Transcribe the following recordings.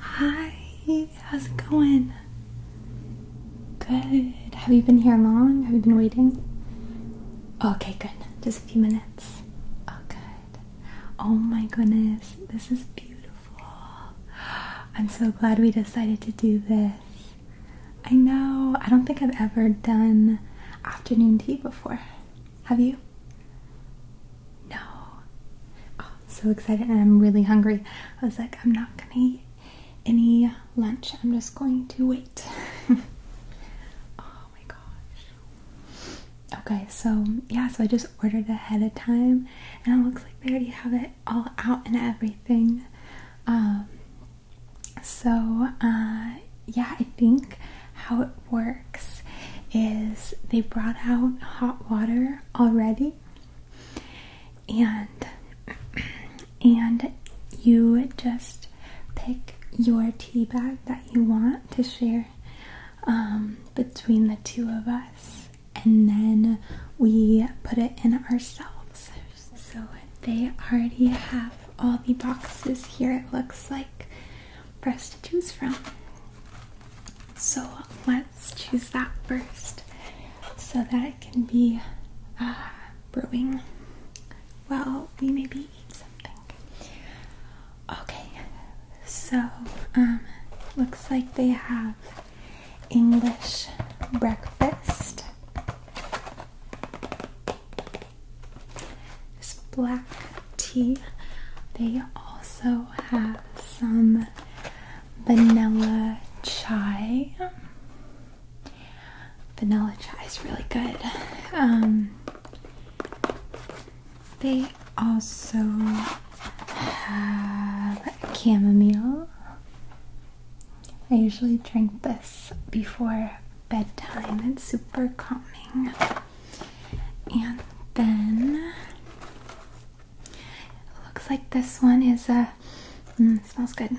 Hi, how's it going? Good. Have you been here long? Have you been waiting? Okay, good. Just a few minutes. Oh, good. Oh my goodness, this is beautiful. I'm so glad we decided to do this. I know, I don't think I've ever done afternoon tea before. Have you? No. Oh, so excited and I'm really hungry. I was like, I'm not gonna eat any lunch. I'm just going to wait. oh my gosh. Okay, so yeah, so I just ordered ahead of time and it looks like they already have it all out and everything. Um so uh yeah, I think how works is they brought out hot water already and and you just pick your tea bag that you want to share um, between the two of us and then we put it in ourselves so they already have all the boxes here it looks like for to choose from. So let's choose that first so that it can be uh, brewing while we maybe eat something. Okay, so um, looks like they have English breakfast. This black tea. They also have some vanilla chai. Vanilla chai is really good. Um, they also have chamomile. I usually drink this before bedtime, it's super calming. And then looks like this one is a uh, mm, smells good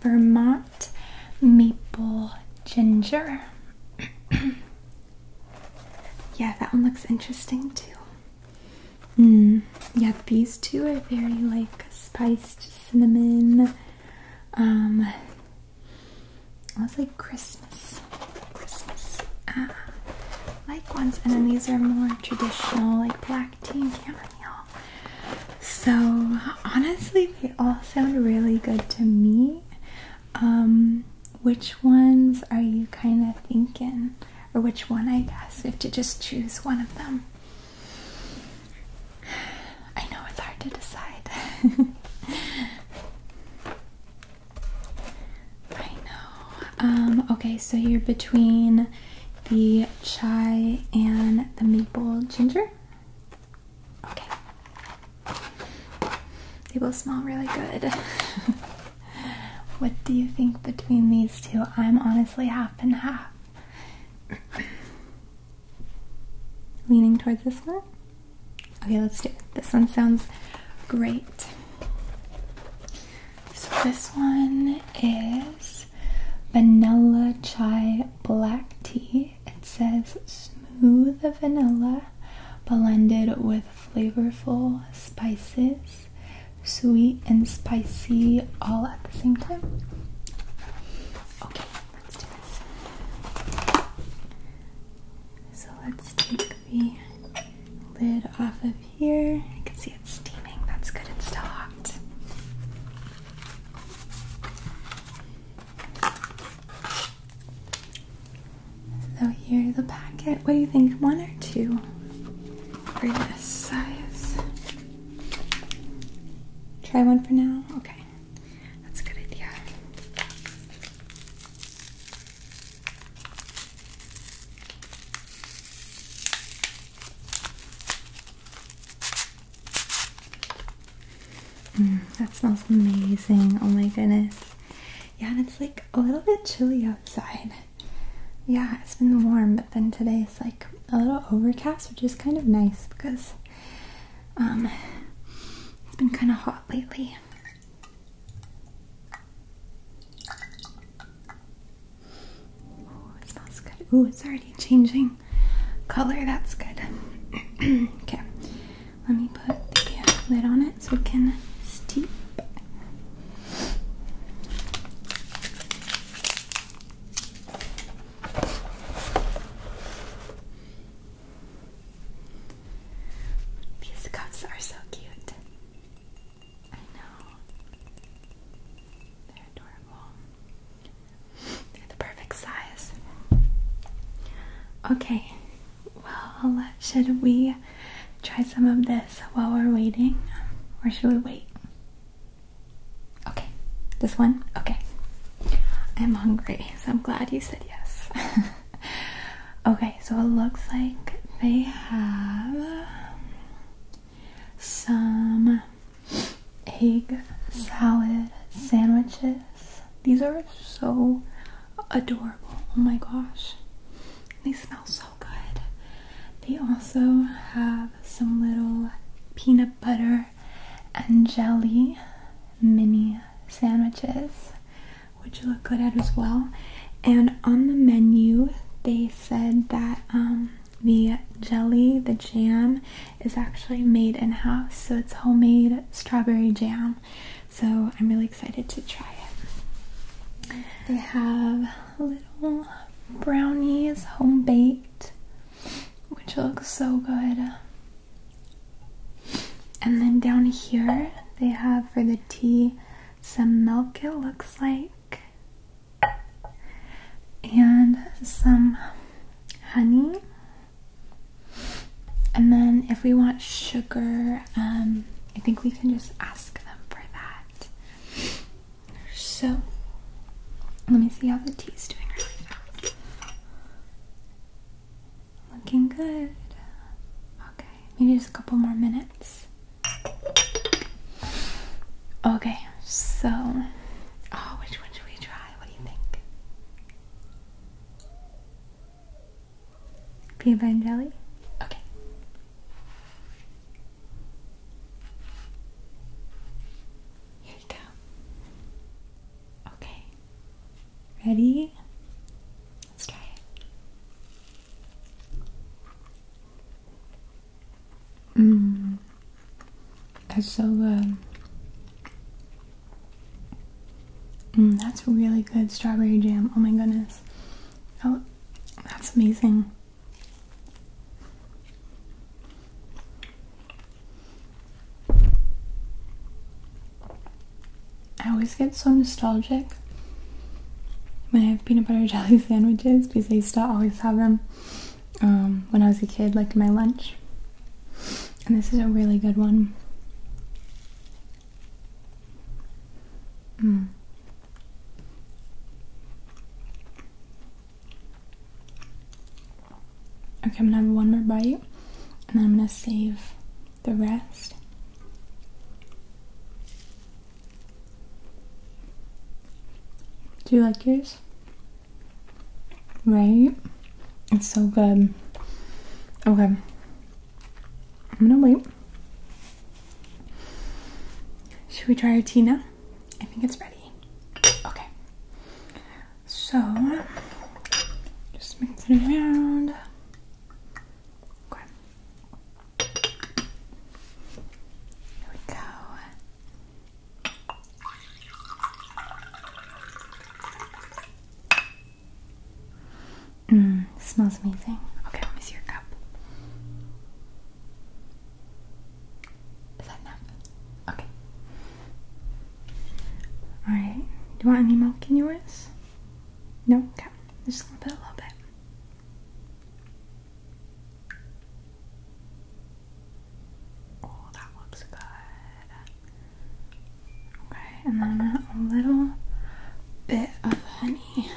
Vermont maple ginger. yeah, that one looks interesting too. Mm, yeah, these two are very like spiced cinnamon. Um, let like Christmas. Christmas. Ah, like ones. And then these are more traditional, like black tea and chamomile. So honestly, they all sound really good to me. Um, which ones are you kind of thinking? Or which one, I guess? We have to just choose one of them. I know it's hard to decide. I know. Um, okay, so you're between the chai and the maple ginger. Okay. They both smell really good. what do you think between these two? I'm honestly half and half. Leaning towards this one? Okay, let's do This one sounds great. So, this one is vanilla chai black tea. It says smooth vanilla blended with flavorful spices, sweet and spicy all at the same time. Okay, let's do this. So let's take the lid off of here. I can see it's steaming. That's good, it's still hot. So here's the packet. What do you think? One or two for this size? Try one for now? Okay. That's a good idea. Mm, that smells amazing. Oh my goodness. Yeah, and it's like a little bit chilly outside. Yeah, it's been warm, but then today it's like a little overcast, which is kind of nice because um, it's been kind of hot lately. Oh, it smells good. Ooh, it's already changing color. That's good. okay, let me put the lid on it so it can steep. These cups are so cute. I know. They're adorable. They're the perfect size. Okay, well, should we try some of this while we're waiting? Or should we wait? Okay, this one? Okay. I'm hungry, so I'm glad you said yes. okay, so it looks like they have some egg salad sandwiches. These are so adorable. Oh my gosh. They smell so good. They also have some little peanut butter and jelly mini sandwiches, which look good out as well. And on the menu, they said that um, the jelly, the jam, is actually made in house, so it's homemade strawberry jam. So I'm really excited to try it. They have little brownies, home baked, which looks so good. And then down here, they have for the tea some milk, it looks like, and some honey. And then if we want sugar, um, I think we can just ask them for that. So let me see how the tea is doing Looking good. Okay, maybe just a couple more minutes. Okay, so oh, which one should we try? What do you think? Peanut jelly? Okay. Here you go. Okay. Ready? Let's try it. Mmm. That's so good. Mm, that's really good strawberry jam. Oh my goodness. Oh, that's amazing. I always get so nostalgic when I have peanut butter jelly sandwiches because I used to always have them um, when I was a kid, like my lunch. And this is a really good one. Mm. Okay, I'm gonna have one more bite and I'm gonna save the rest. Do you like yours? Right? It's so good. Okay. I'm gonna wait. Should we try our tea now? I think it's ready. Okay. So just mix it around. Okay. Here we go. Mmm, smells amazing. Okay, let me see your cup. Is that enough? Okay. Alright. Do you want any milk in yours? No? Okay. Just a little bit, a little bit. Oh, that looks good. Okay, and then a little bit of honey.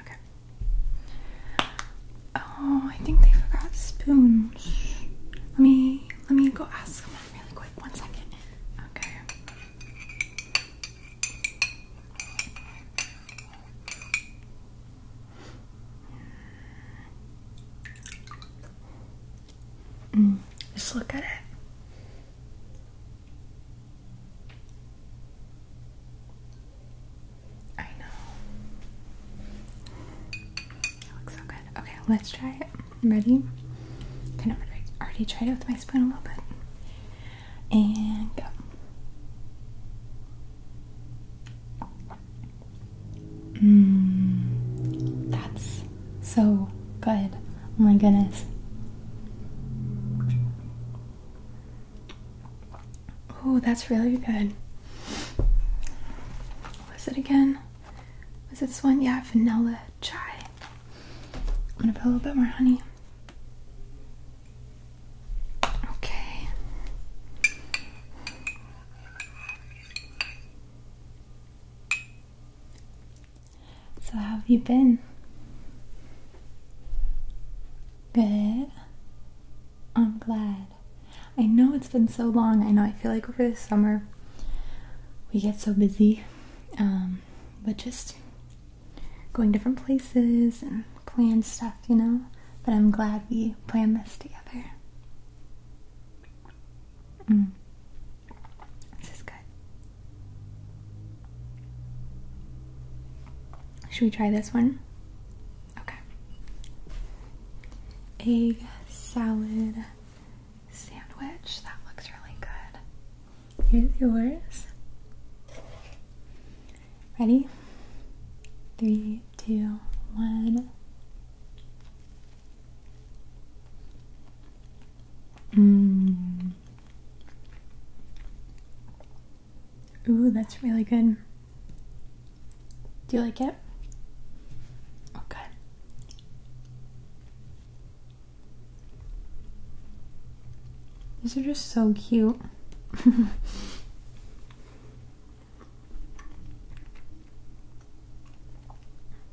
Okay. Oh, I think they forgot spoons. Let me let me go ask someone really quick. One second. Okay. Mm, just look at it. I know. It looks so good. Okay, let's try it. Ready? Okay, no, I already tried it with my spoon a little bit. And go. Mmm. That's so good. Oh my goodness. Oh, that's really good. What was it again? Was it this one? Yeah, vanilla chai. I'm gonna put a little bit more honey. Okay. So, how have you been? Good. I'm glad. I know it's been so long. I know I feel like over the summer we get so busy, um, but just going different places and plan stuff, you know? But I'm glad we planned this together. Mm. This is good. Should we try this one? Okay. Egg salad sandwich. That looks really good. Here's yours. Ready? Three, two, one. Mmm. Ooh, that's really good. Do you like it? Okay. These are just so cute.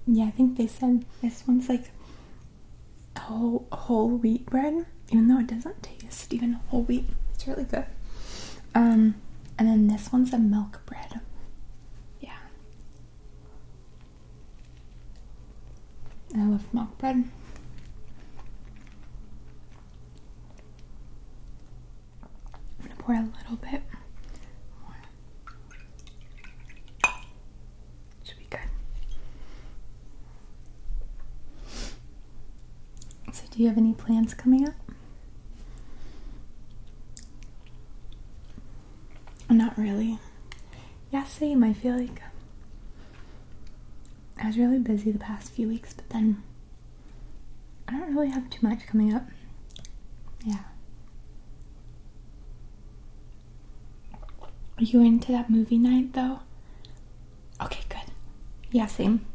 yeah, I think they said this one's like whole whole wheat bread, even though it doesn't taste even whole wheat. It's really good. Um, and then this one's a milk bread. Yeah. I love milk bread. I'm gonna pour a little bit Should be good. So, do you have any plans coming up? Not really. Yeah, same. I feel like I was really busy the past few weeks, but then I don't really have too much coming up. Yeah. Are you into that movie night though? Okay, good. Yeah, same.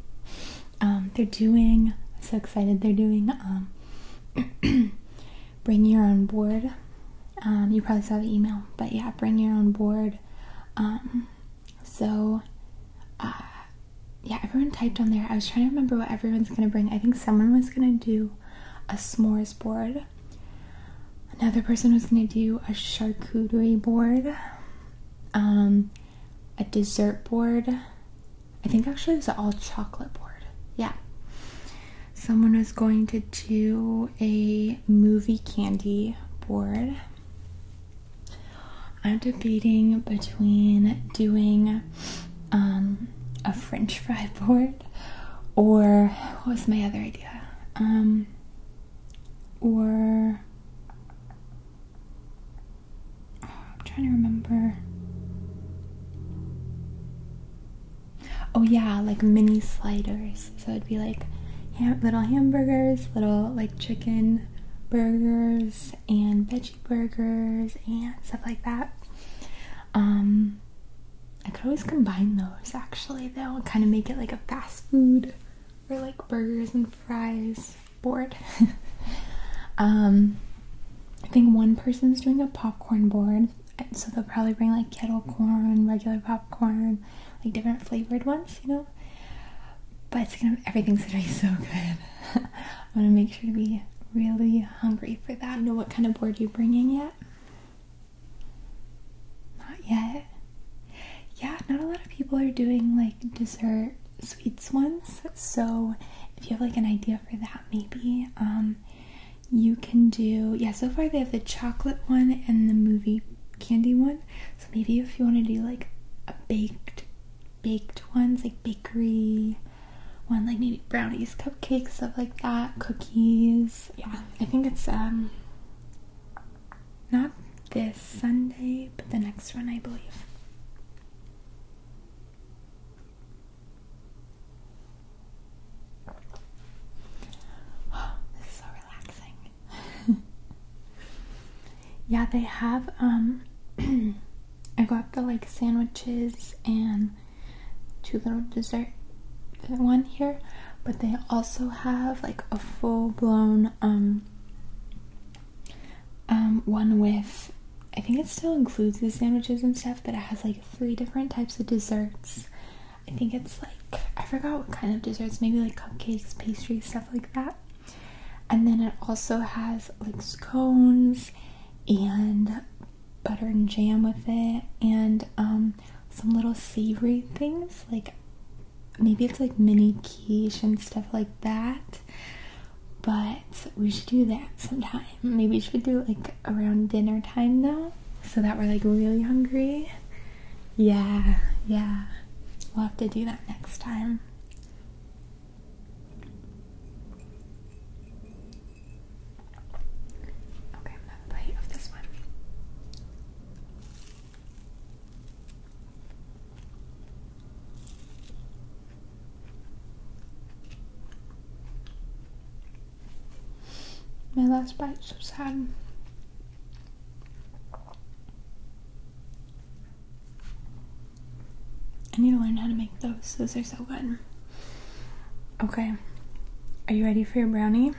Um, they're doing so excited they're doing um, bring your own board um, you probably saw the email but yeah bring your own board so uh, yeah everyone typed on there i was trying to remember what everyone's gonna bring i think someone was gonna do a s'mores board another person was gonna do a charcuterie board a dessert board. I think actually it's an all chocolate board. Yeah. Someone was going to do a movie candy board. I'm debating between doing um, a french fry board or what was my other idea? Um, or I'm trying to remember. Oh yeah, like mini sliders. So it'd be like little hamburgers, little like chicken burgers and veggie burgers and stuff like that. Um, I could always combine those actually though and kind of make it like a fast food for like burgers and fries board. Um, I think one person's doing a popcorn board, so they'll probably bring like kettle corn, regular popcorn, like different flavored ones, you know. But it's gonna everything's gonna be so good. I'm gonna make sure to be really hungry for that. You know what kind of board you're bringing yet? Not yet. Yeah, not a lot of people are doing like dessert sweets ones. So if you have like an idea for that, maybe um, you can do. Yeah, so far they have the chocolate one and the movie candy one. So maybe if you want to do like a baked, baked ones like bakery one, like maybe brownies, cupcakes, stuff like that, cookies. Yeah, I think it's um not this Sunday, but the next one, I believe. this is so relaxing. yeah, they have, um, I got the like sandwiches and two little dessert one here, but they also have like a full blown, um, um, one with I think it still includes the sandwiches and stuff, but it has like three different types of desserts. I think it's like I forgot what kind of desserts, maybe like cupcakes, pastries, stuff like that. And then it also has like scones and butter and jam with it, and um, some little savory things like maybe it's like mini quiche and stuff like that. But we should do that sometime. Maybe we should do it like around dinner time though, so that we're like really hungry. Yeah, yeah. We'll have to do that next time. Okay, I'm gonna plate of this one. My last bite. so sad. I need to learn how to make those. Those are so good. Okay. Are you ready for your brownie?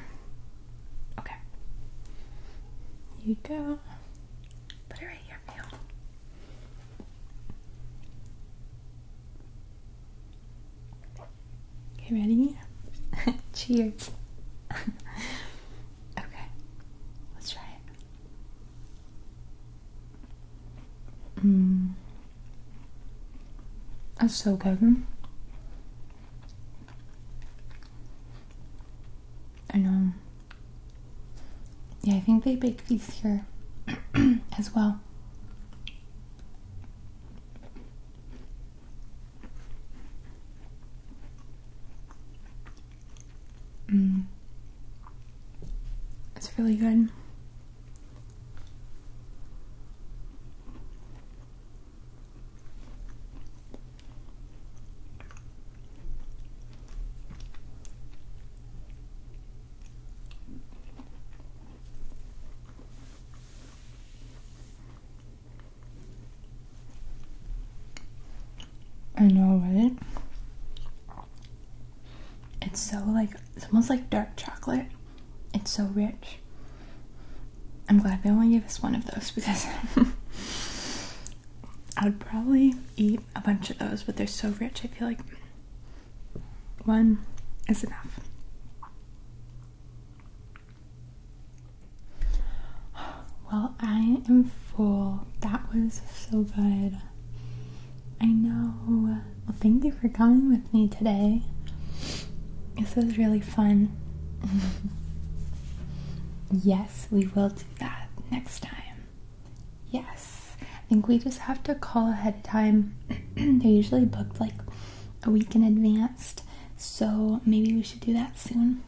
Okay. you go. Put it you. Okay, ready? Cheers. okay, let's try it. Mmm. That's so good. I know. Yeah, I think they bake these here as well. Mm. It's really good. I know, right? It's so like, it's almost like dark chocolate. It's so rich. I'm glad they only gave us one of those because I would probably eat a bunch of those, but they're so rich. I feel like one is enough. Well, I am full. That was so good. I know. Well, thank you for coming with me today. This was really fun. yes, we will do that next time. Yes, I think we just have to call ahead of time. They're usually booked like a week in advance, so maybe we should do that soon.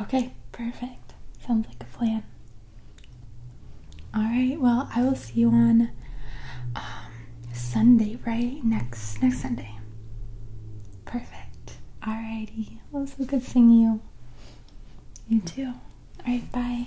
Okay, perfect. Sounds like a plan. All right, well, I will see you on um, Sunday, right? Next next Sunday. Perfect. All righty. Well, it was so good seeing you. You mm-hmm. too. Alright, bye.